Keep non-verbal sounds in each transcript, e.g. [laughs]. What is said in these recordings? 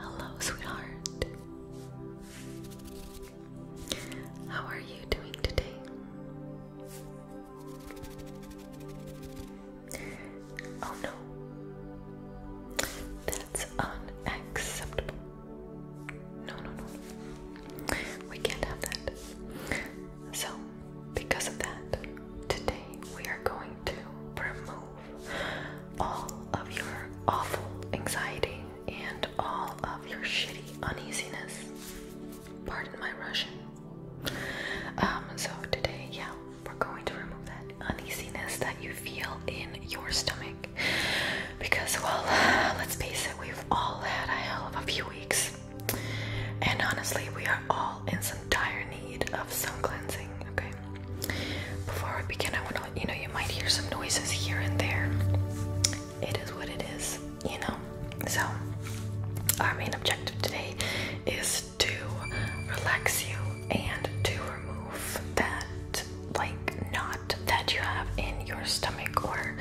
Hello, sweetheart. How are you doing today? Oh no. That's unacceptable. No, no, no. We can't have that. So, because of that, today we are going to remove all of your awful anxiety and all of your shitty uneasiness. Pardon my Russian. Um, so today, yeah, we're going to remove that uneasiness that you feel in your stomach. Because, well, let's face it, we've all had a hell of a few weeks. And honestly, we are all in some dire need of some cleansing, okay? Before we begin, I want to you know you might hear some noises here and there. It is what it is, you know? So, our main objective today is to relax you and to remove that, like, knot that you have in your stomach or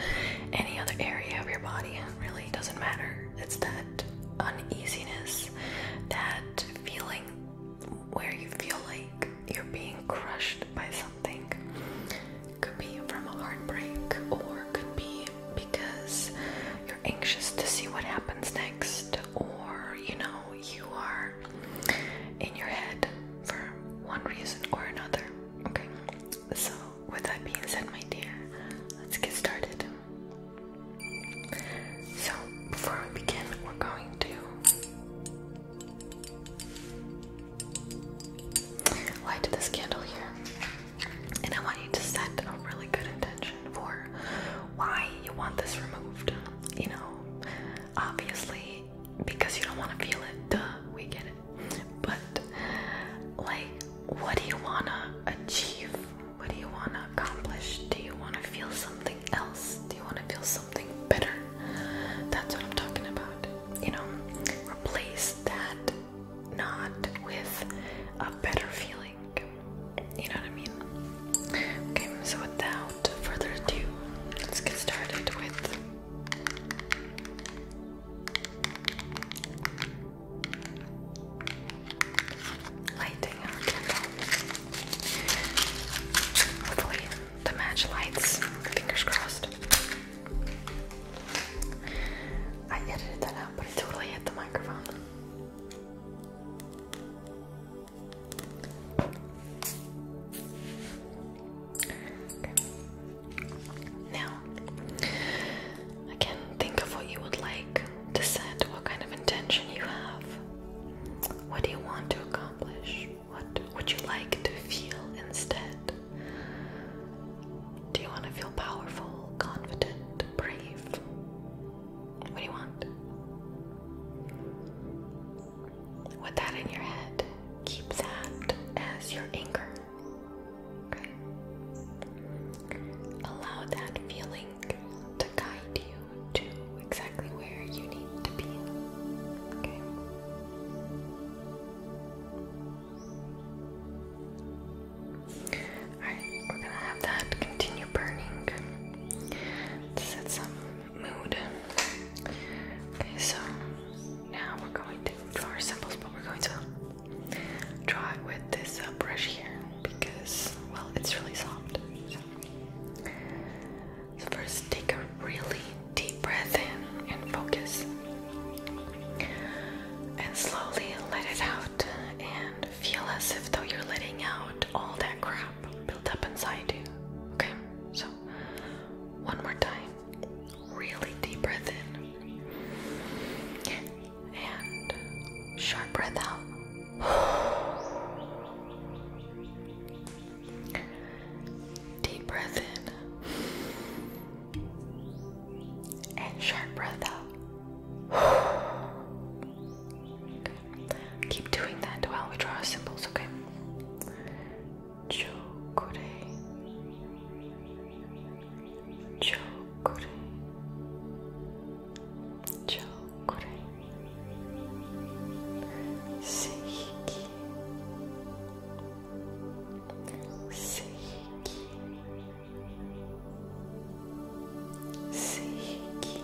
any other area of your body. really doesn't matter. It's that uneasiness, that feeling where you feel like you're being crushed by something. Could be from a heartbreak, or could be because you're anxious to see what happens next or you know you are in your head for one reason or another okay so with that being said my dear let's get started so before we begin we're going to light this candle here and I want you to set a really good intention for why you want this removed you know obviously, because you don't want to feel it, duh, we get it. But, like, what do you want to achieve? What do you want to accomplish? Do you want to feel something else? Do you want to feel something better? That's what I'm talking about. You know, replace that not with a better feeling. You know what I mean? Okay, so without further ado, let's get started with lighting our candle. Hopefully, the match lights. Fingers crossed. I edited that out, but it totally hit the microphone. Now, again, think of what you would like to set, what kind of intention you have. What do you want to accomplish? What would you like to feel instead? Do you want to feel powerful, confident, brave? What do you want? With that in your head, keep that as your anchor. Okay? Allow that feeling to guide you to exactly where you need to be. Okay? Alright, we're gonna have that continue burning. Set some mood. Okay, so now we're going to draw our symbols, but we're going to draw it with this uh, brush here because, well, it's really soft. so, first, take a really deep breath in and focus, and slowly let it out, and feel as if though you're letting out all that crap crap built up inside you. Okay, so one more time. Really deep breath in and sharp breath out. [sighs] Deep breath in and sharp breath out. [sighs] Keep doing that while we draw our symbols, okay? Chokure. Chokure. Chokure. Seiki. Seiki. Seiki.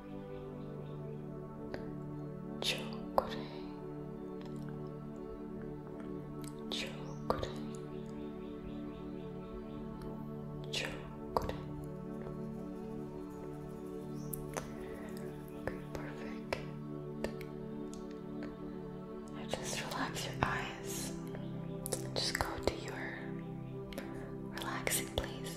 Chokure Chokure Chokure perfect. just relax your eyes. Just go to your relaxing place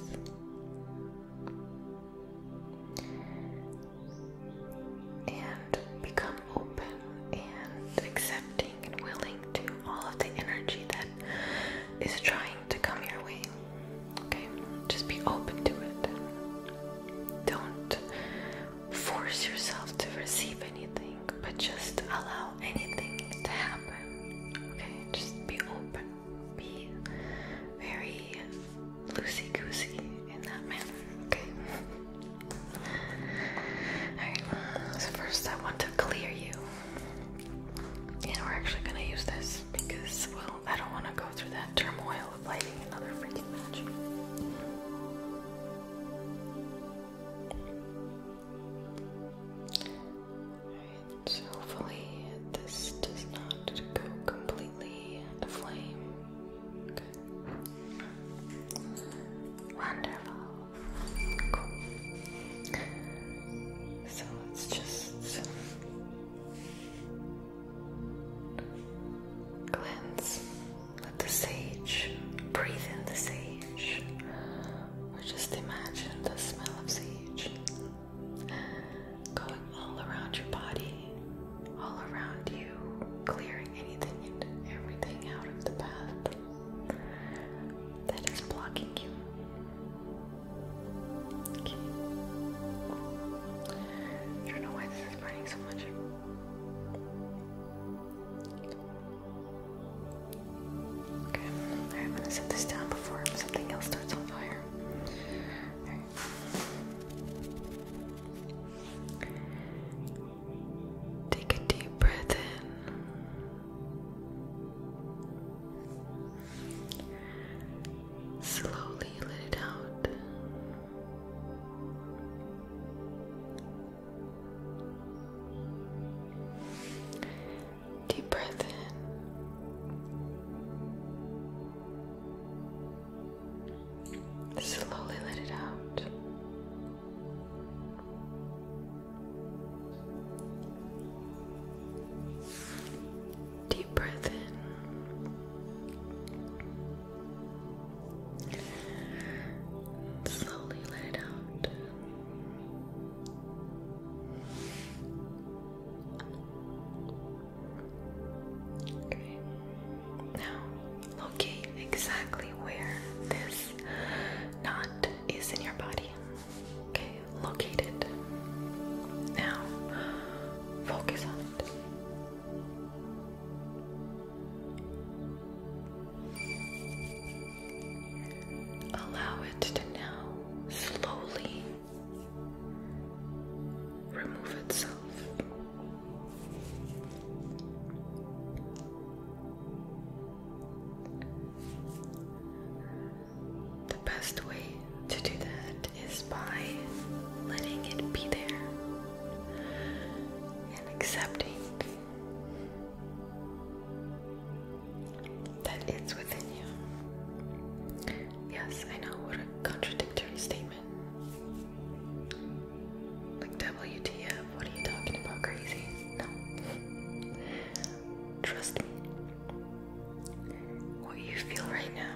and become open and accepting and willing to all of the energy that is trying to come your way. Okay? Just be open to it. Don't force yourself to receive anything, but just allow anything to happen. Okay? Just be open be very loosey goosey in that manner, okay? Alright, so first I want to clear you. And we're actually gonna use this because, well, I don't want to go through that turmoil of lighting another freaking match. Alright, so hopefully this does not go completely completely aflame. Wonderful. So let's just cleanse. Let the sage breathe in the sage. Or just imagine the smell of sage going all around your body, all around you, clearing anything and everything out of the path that is blocking you. Okay. I don't know why this is burning so much. Okay, I'm gonna set this down before something else starts on fire. Take a deep breath in. Slowly let it out. Deep breath in. Slowly let it out. Deep breath in. slowly let it out. Now locate exactly where this knot is in your body. Okay, locate it. Now focus on it. Allow it to now slowly remove itself. The best way to do that is by letting it be there and accepting that it's within you. Yes, I know what a contradictory statement. Like, WTF, what are you talking about, crazy? No. Trust me. What you feel right now,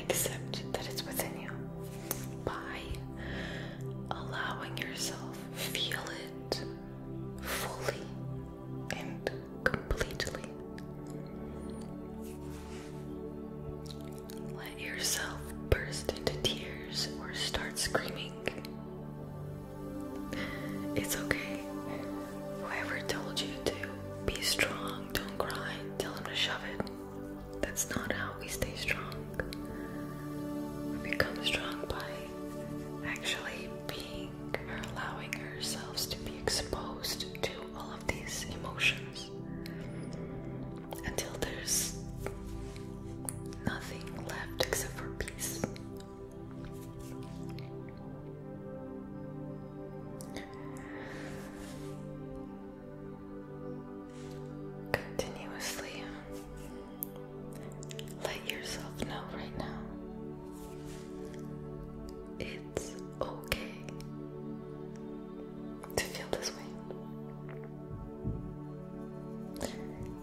accept that it's within you by allowing yourself feel it fully and completely. Let yourself burst into tears or start screaming. It's okay. Whoever told you to be strong, don't cry, tell them to shove it. That's not how we stay strong. We become strong by actually being or allowing ourselves to be exposed to all of these emotions until there's nothing left except for peace. Continuously let yourself know right now. It's okay to feel this way.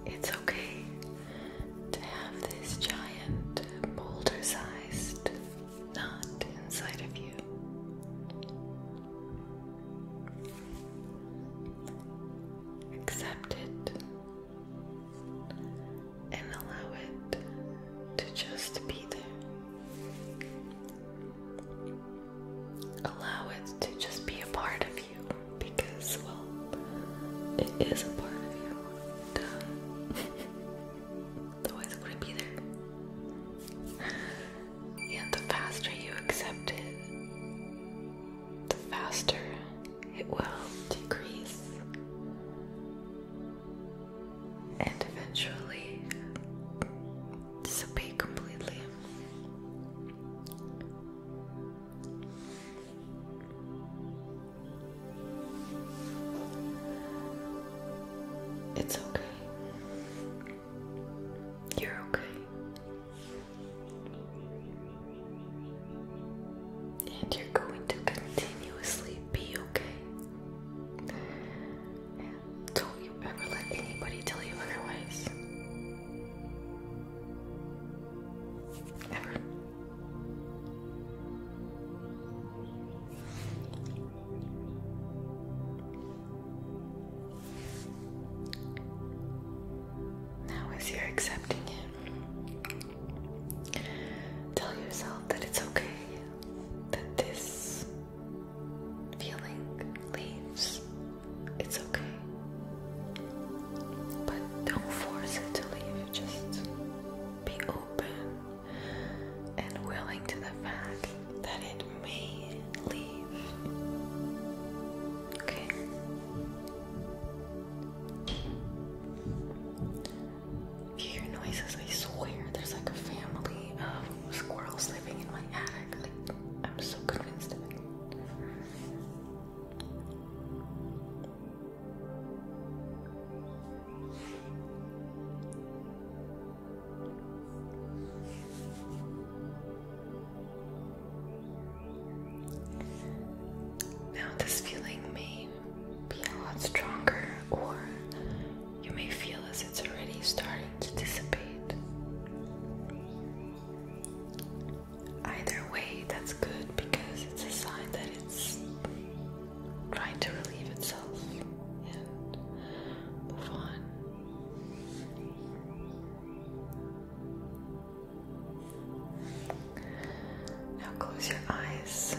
It's okay to have this giant boulder sized knot inside of you. Accept it and allow it to just be there. Allow it to just be a part of you because, well, it is a part of you. Duh. Otherwise, [laughs] it wouldn't be there. And the faster you accept it, the faster it will decrease and eventually disappear completely. It's okay. You're okay. And you're going to continuously be okay. don't you ever let anybody tell you otherwise. Ever. Now, as you're accepting it, tell yourself that it's okay that this feeling leaves, it's okay. But don't force it to leave, just be open and willing to the fact that it may leave. Okay? hear noises, I swear there's like a family of squirrels living in my attic. I'm so convinced of it. Now, this feeling may be a lot stronger, or you may feel as it's already starting to dissipate. Either way, that's good because it's a sign that it's trying to relieve itself and move on. Now close your eyes.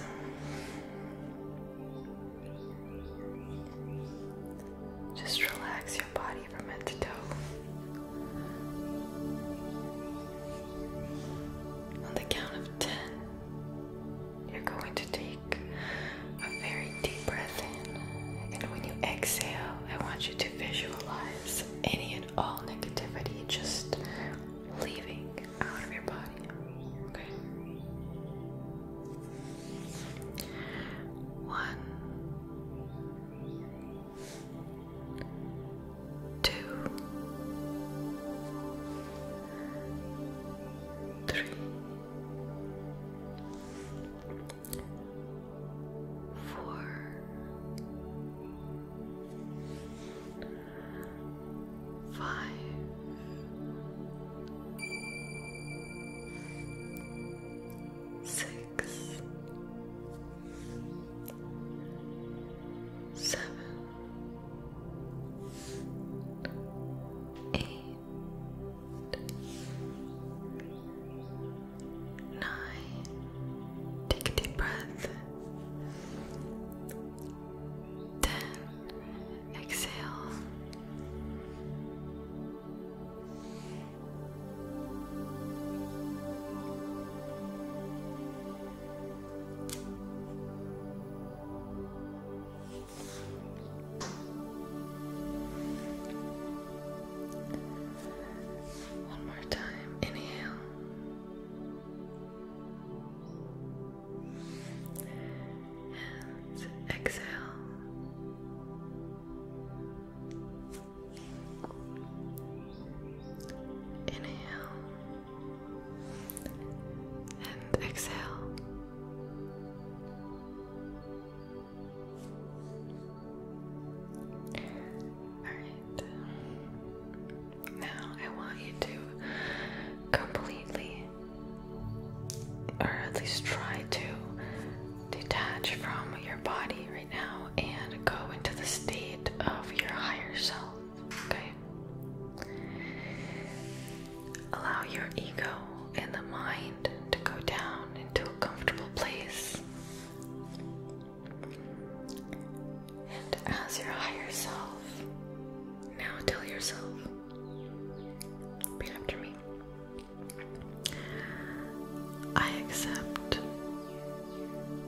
Just relax your body from head to toe. On the count of 10, you're going to take a very deep breath in, and when you exhale, I want you to visualize any and all negativity just leaving out of your body. Okay. One, two, three, four five, six, seven, eight, nine. Take a deep breath. Ten exhale. One more time, inhale exhale. Inhale and exhale. All right. Now I want you to completely or at least try to detach from your body right now and go into the state of your higher self. Okay? Allow your ego and the mind to go down into a comfortable place. And as your higher self, now tell yourself Repeat after me. I accept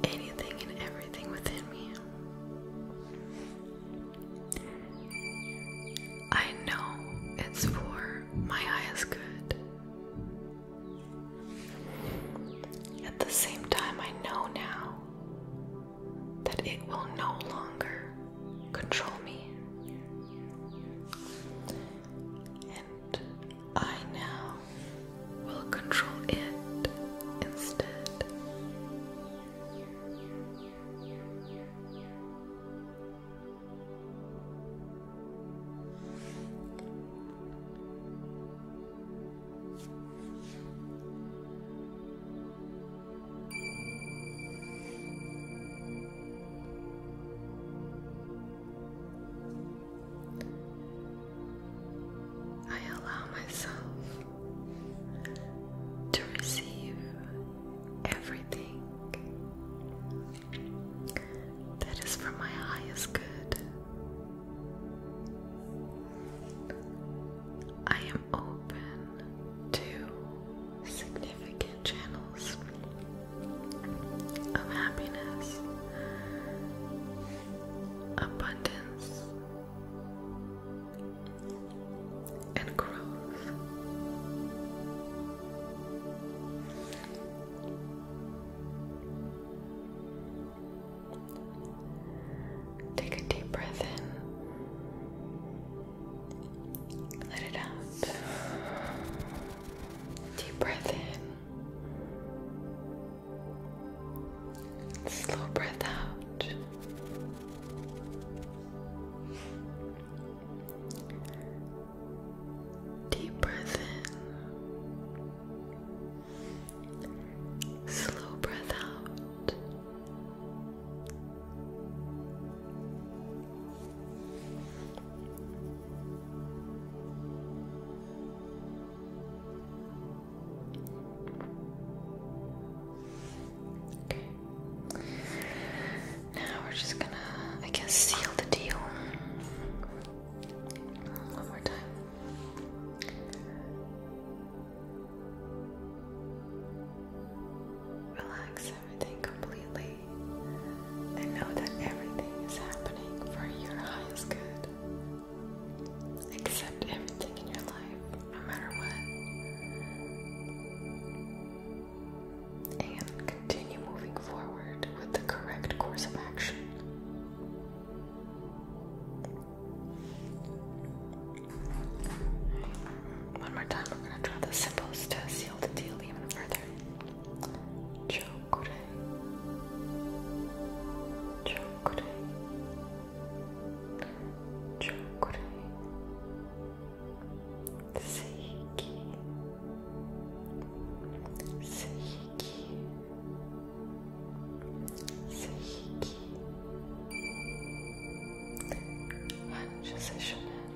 anything and everything within me. I know it's for my highest good. At the same time, I know now that it will no longer control me. And I now will control it instead. I allow myself to receive everything that is for my highest good. I am open two significant channels of happiness, abundance, and growth. Take a deep breath in let it out. Deep breath in. Slow breath out. Deep breath in. Slow breath out. Okay. Now we're just gonna, I guess, seal the deal. One more time. Relaxing completely and know that everything is happening for your highest good. Accept everything in your life, no matter what. And continue moving forward with the correct course of action. One more time, we're gonna draw the symbols to seal the deal even further. Chokure. Chokure. Chokure. Seiki. Seiki. Seiki. Anjasashana.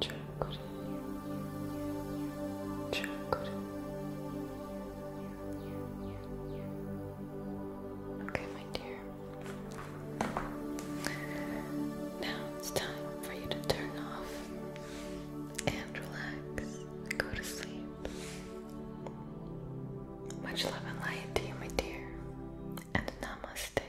chakra, chakra. Okay, my dear. Now it's time for you to turn off and relax go to sleep. Much love and light to you, my dear, and namaste.